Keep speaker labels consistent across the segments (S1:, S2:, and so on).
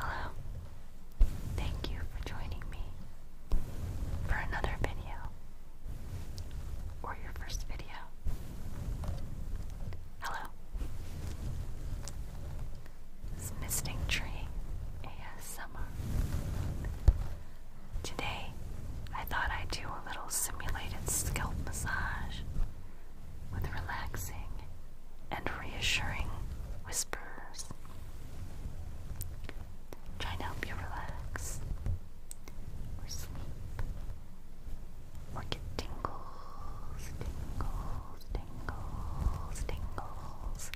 S1: Hello. Thank you for joining me for another video or your first video. Hello. This misting tree ASMR. Today, I thought I'd do a little simulated scalp massage with relaxing and reassuring whispers. Trying to help you relax, or sleep, or get tingles, tingles, tingles, tingles.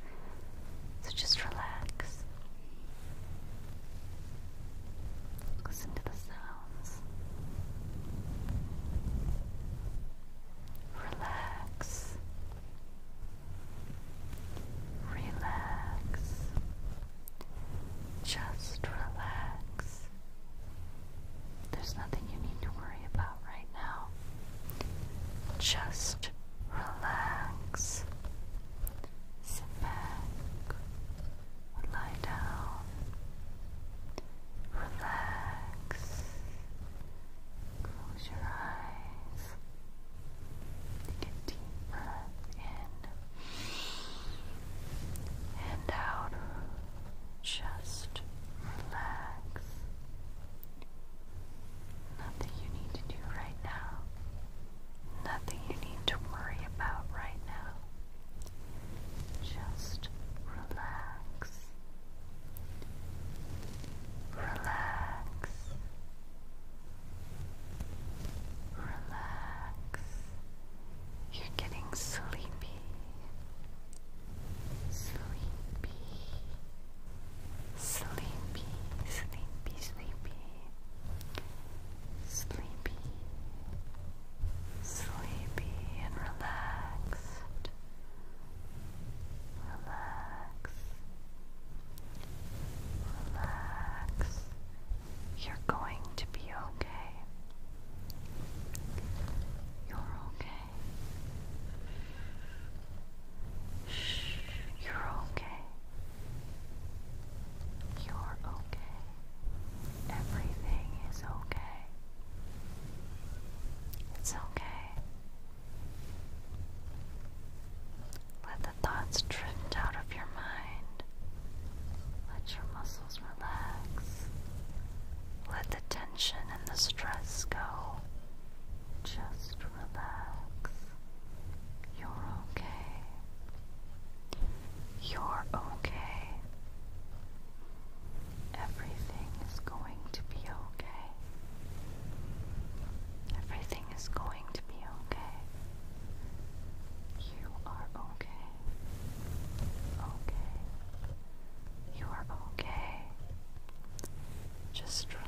S1: So just relax. Listen to the sounds. Relax. Relax. Just relax. There's nothing you need to worry about right now. Just relax. back, lie down, relax, close your eyes, take deep breath in and out, just relax. Nothing you need to do right now. Nothing you need to worry about right now. Just relax. Relax. Relax. You're getting sleepy. Sleepy. Sleepy, sleepy, sleepy sleepy, sleepy and relaxed, relax, relax. You're going to be okay. You're okay. Shh, you're okay. You're okay. Everything is okay. It's okay. Let the thoughts drift out of your mind. Let your muscles relax. Let the tension and the stress go. Just relax. You're okay. You're okay. Everything is going to be okay. Everything is going to be okay. You are okay. Okay. You are okay. Just relax.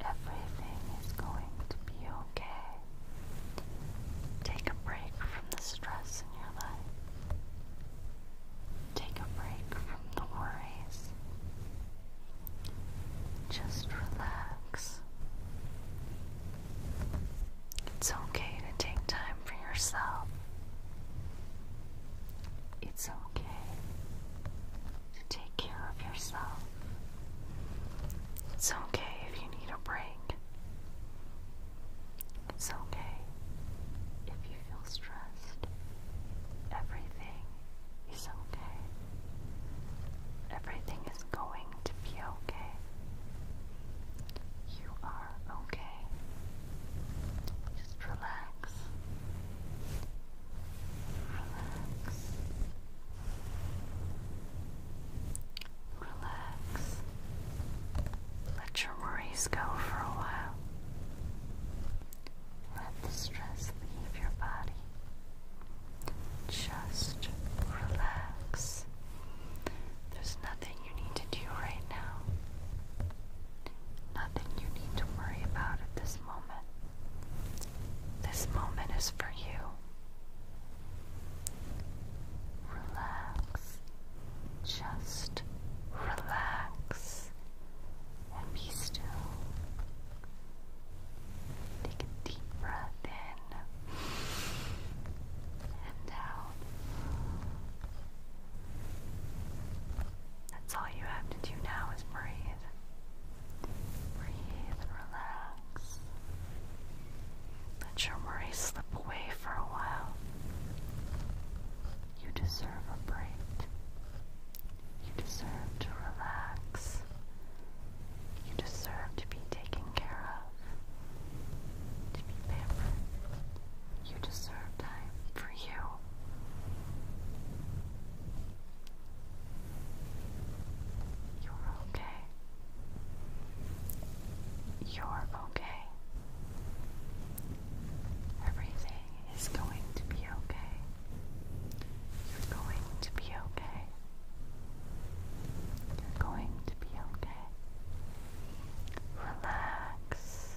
S1: Everything is going to be okay. Take a break from the stress in your life. Take a break from the worries. Just relax. It's okay to take time for yourself. It's okay Take care of yourself. It's okay if you need a break. It's okay if you feel stressed. Everything is okay. Everything is going to be okay. You are okay. Just relax. Relax. Relax. Let your worries go for a while. Let the stress leave your body. Just relax. There's nothing you need to do right now. Nothing you need to worry about at this moment. This moment is for you. Relax. Just relax and be still. Take a deep breath in and out. That's all you have to do now is breathe. Breathe relax. Let your worries slip away for a while. You deserve a break. You deserve to relax. You deserve to be taken care of, to be pampered. You deserve time for you. You're okay. You're okay. Everything is going to be okay. You're going to be okay. going to be okay. Relax.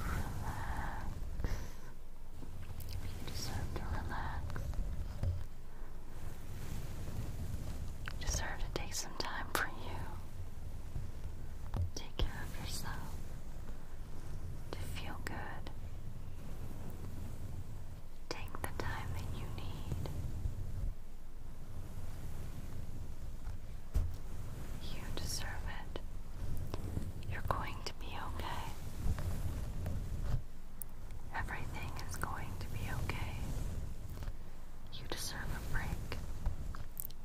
S1: Relax. You deserve to relax. deserve to take some time for you. Take care of yourself. To feel good. Take the time that you need. You deserve it. You're going to be okay. Everything is going to be okay. You deserve a break.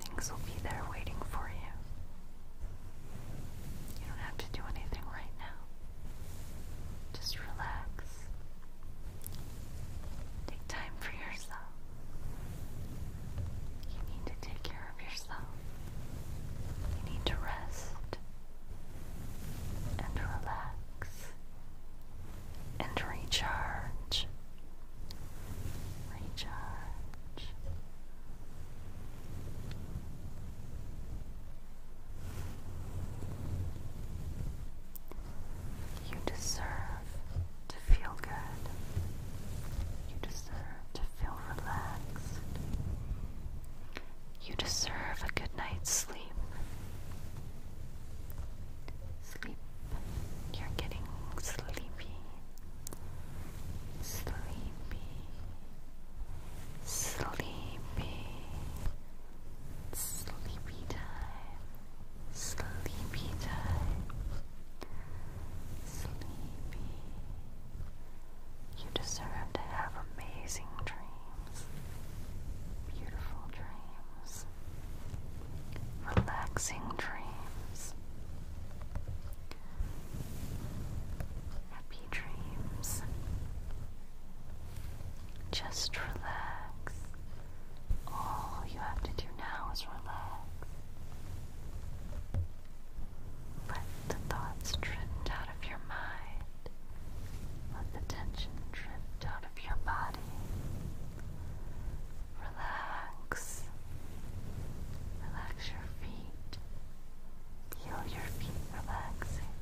S1: Things will be there waiting for you. You don't have to do anything right now. Just relax. Take time for yourself. You need to take care of yourself. You need to rest and relax and recharge. Recharge. You deserve to feel good. You deserve to feel relaxed. You deserve a good night's sleep. Sleep. You're getting sleepy. Sleepy. Sleepy. Sleepy time. Sleepy time. Sleepy. You deserve to have amazing dreams, beautiful dreams, relaxing dreams, happy dreams. Just relax. All you have to do now is relax. Let the thoughts drift out of your mind. Let the tension drift out of your body. Relax. Relax your feet. Feel your feet relaxing.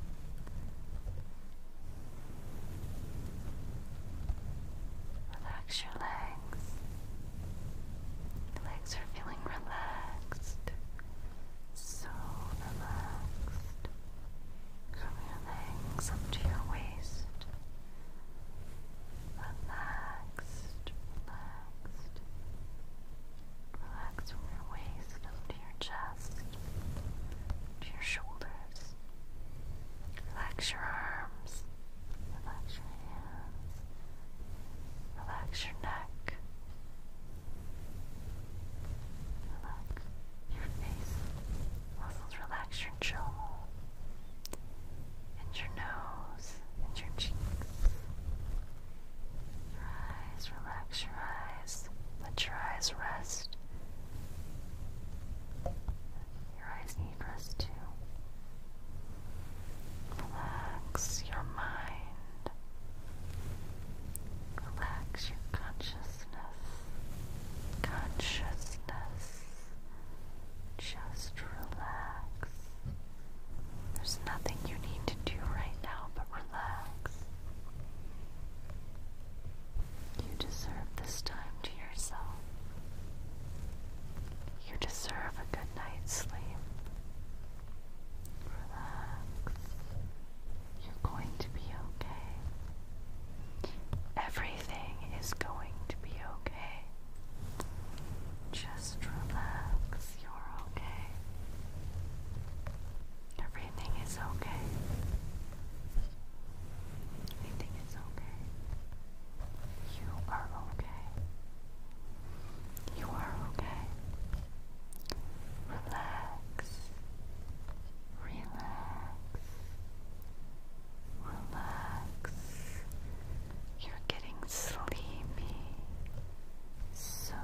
S1: Relax your legs. Your legs are feeling relaxed so relaxed from your legs up to your waist. Relaxed, relaxed. Relax from your waist to your chest, to your shoulders. Relax your arms, relax your hands, relax your neck, Relax your face, muscles relax your jaw, and your nose, and your cheeks. eyes, relax your eyes, let your eyes rest. Your eyes need rest too. Relax your mind. Relax your consciousness. Consciousness. Just relax. There's nothing you need to do right now but relax. You deserve this time to yourself. You deserve a good night's sleep. Relax. You're going to be okay. Everything is going to be okay. Just relax. You're okay. Everything is okay. Everything is okay. You are okay. You are okay. Relax. Relax. Relax. You're getting sleepy. So,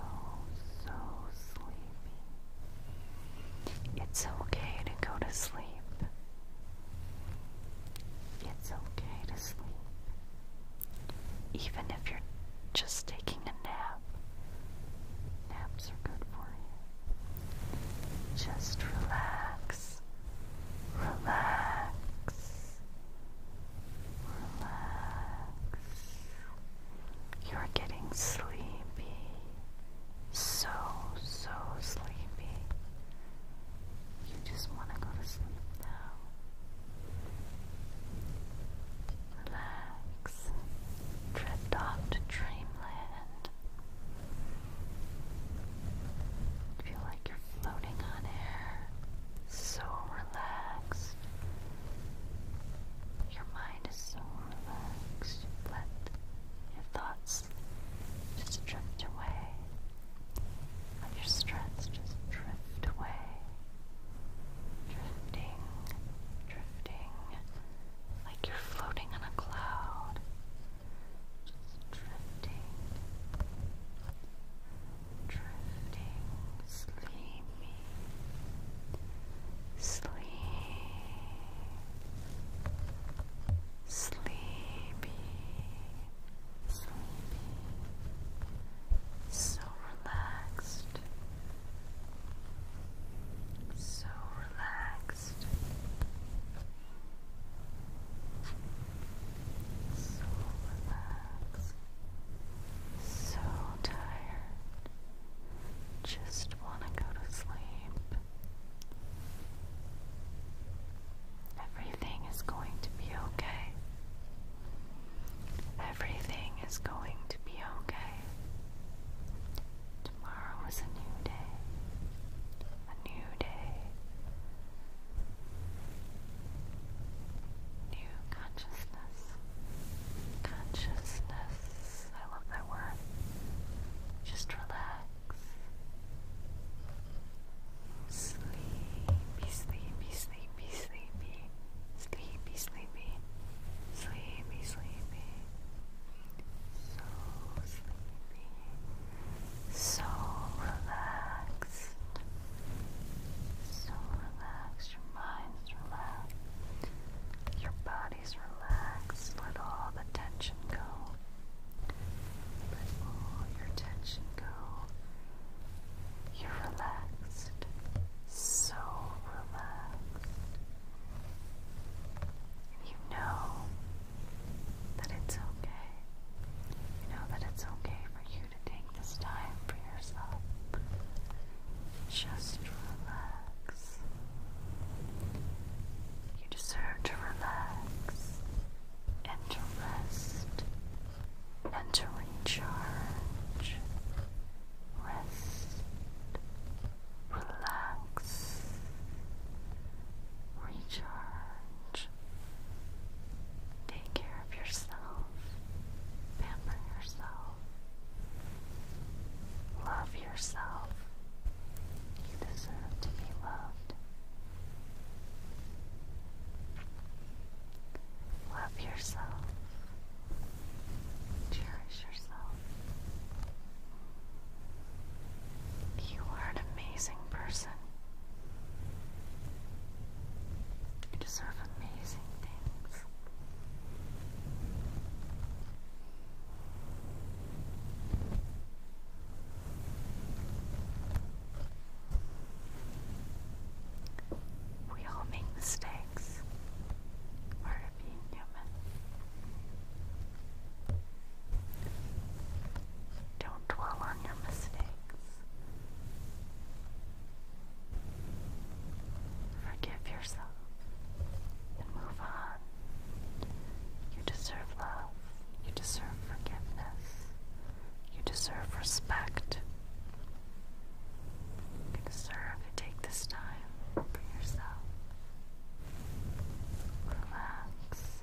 S1: so sleepy. It's okay to go to sleep. It's okay to sleep. Even if you're just taking a nap, naps are good for you. Just relax, relax, relax. You're getting sleepy, so, so sleepy. You just want to go to sleep now. Relax. Drift off to dreamland. Feel like you're floating on air. So relaxed. Your mind is so relaxed. let your thoughts just drift away. your stress just drift away. Drifting, drifting, like you're floating on a cloud. drifting, drifting, sleepy, sleep, sleepy, sleepy, so so relaxed, so relaxed, so relaxed, so tired, just want to go to sleep. Everything is going to be okay. Everything is going to be okay. Tomorrow is a new day. A new day. New consciousness. Consciousness. I love that word. Just relax. Sleepy, sleepy, sleepy sleepy, sleepy, sleepy, sleepy, sleepy, so sleepy, so relaxed, so relaxed, your mind's relaxed, your body's relaxed, let all the tension go, let all your tension go. You're relaxed, so relaxed. you know that it's okay. You know that it's okay for you to take this time for yourself. Just relax. You deserve to relax and to rest and to recharge, rest, relax, recharge. Take care of yourself, pamper yourself, love yourself. You deserve to be loved. Love yourself. Cherish yourself. You are an amazing person. You deserve amazing things. We all make mistakes. Part of being human. Don't dwell on your mistakes. Forgive yourself and move on. You deserve love. You deserve forgiveness. You deserve respect. You deserve to take this time for yourself. Relax.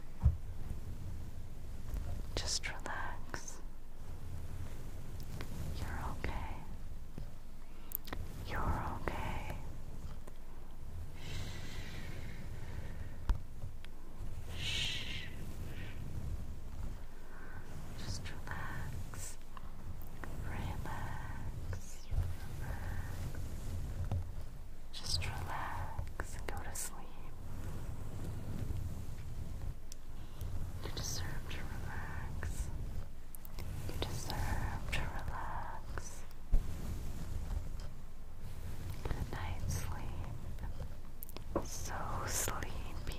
S1: Just relax. You're okay. You're okay. Shh. Just relax, relax, Just relax go to sleep. You deserve to relax. You deserve to relax. Good night, sleep. So sleepy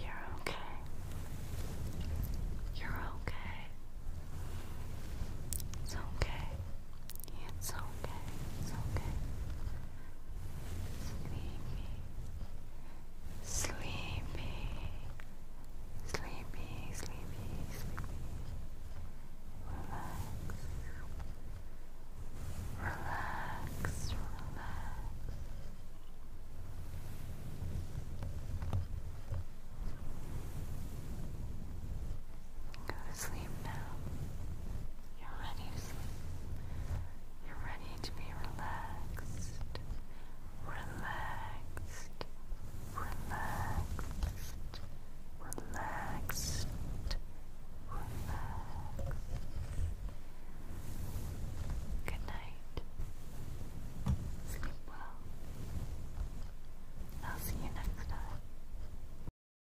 S1: you're okay. You're okay. It's okay. It's okay, it's okay. Sleepy, sleepy, sleepy, sleepy, sleepy. Relax, relax, relax. Good sleep now. You're ready to sleep. You're ready to be relaxed. Relaxed. Relaxed. Relaxed. Relaxed. Good night. Sleep well. I'll see you next time.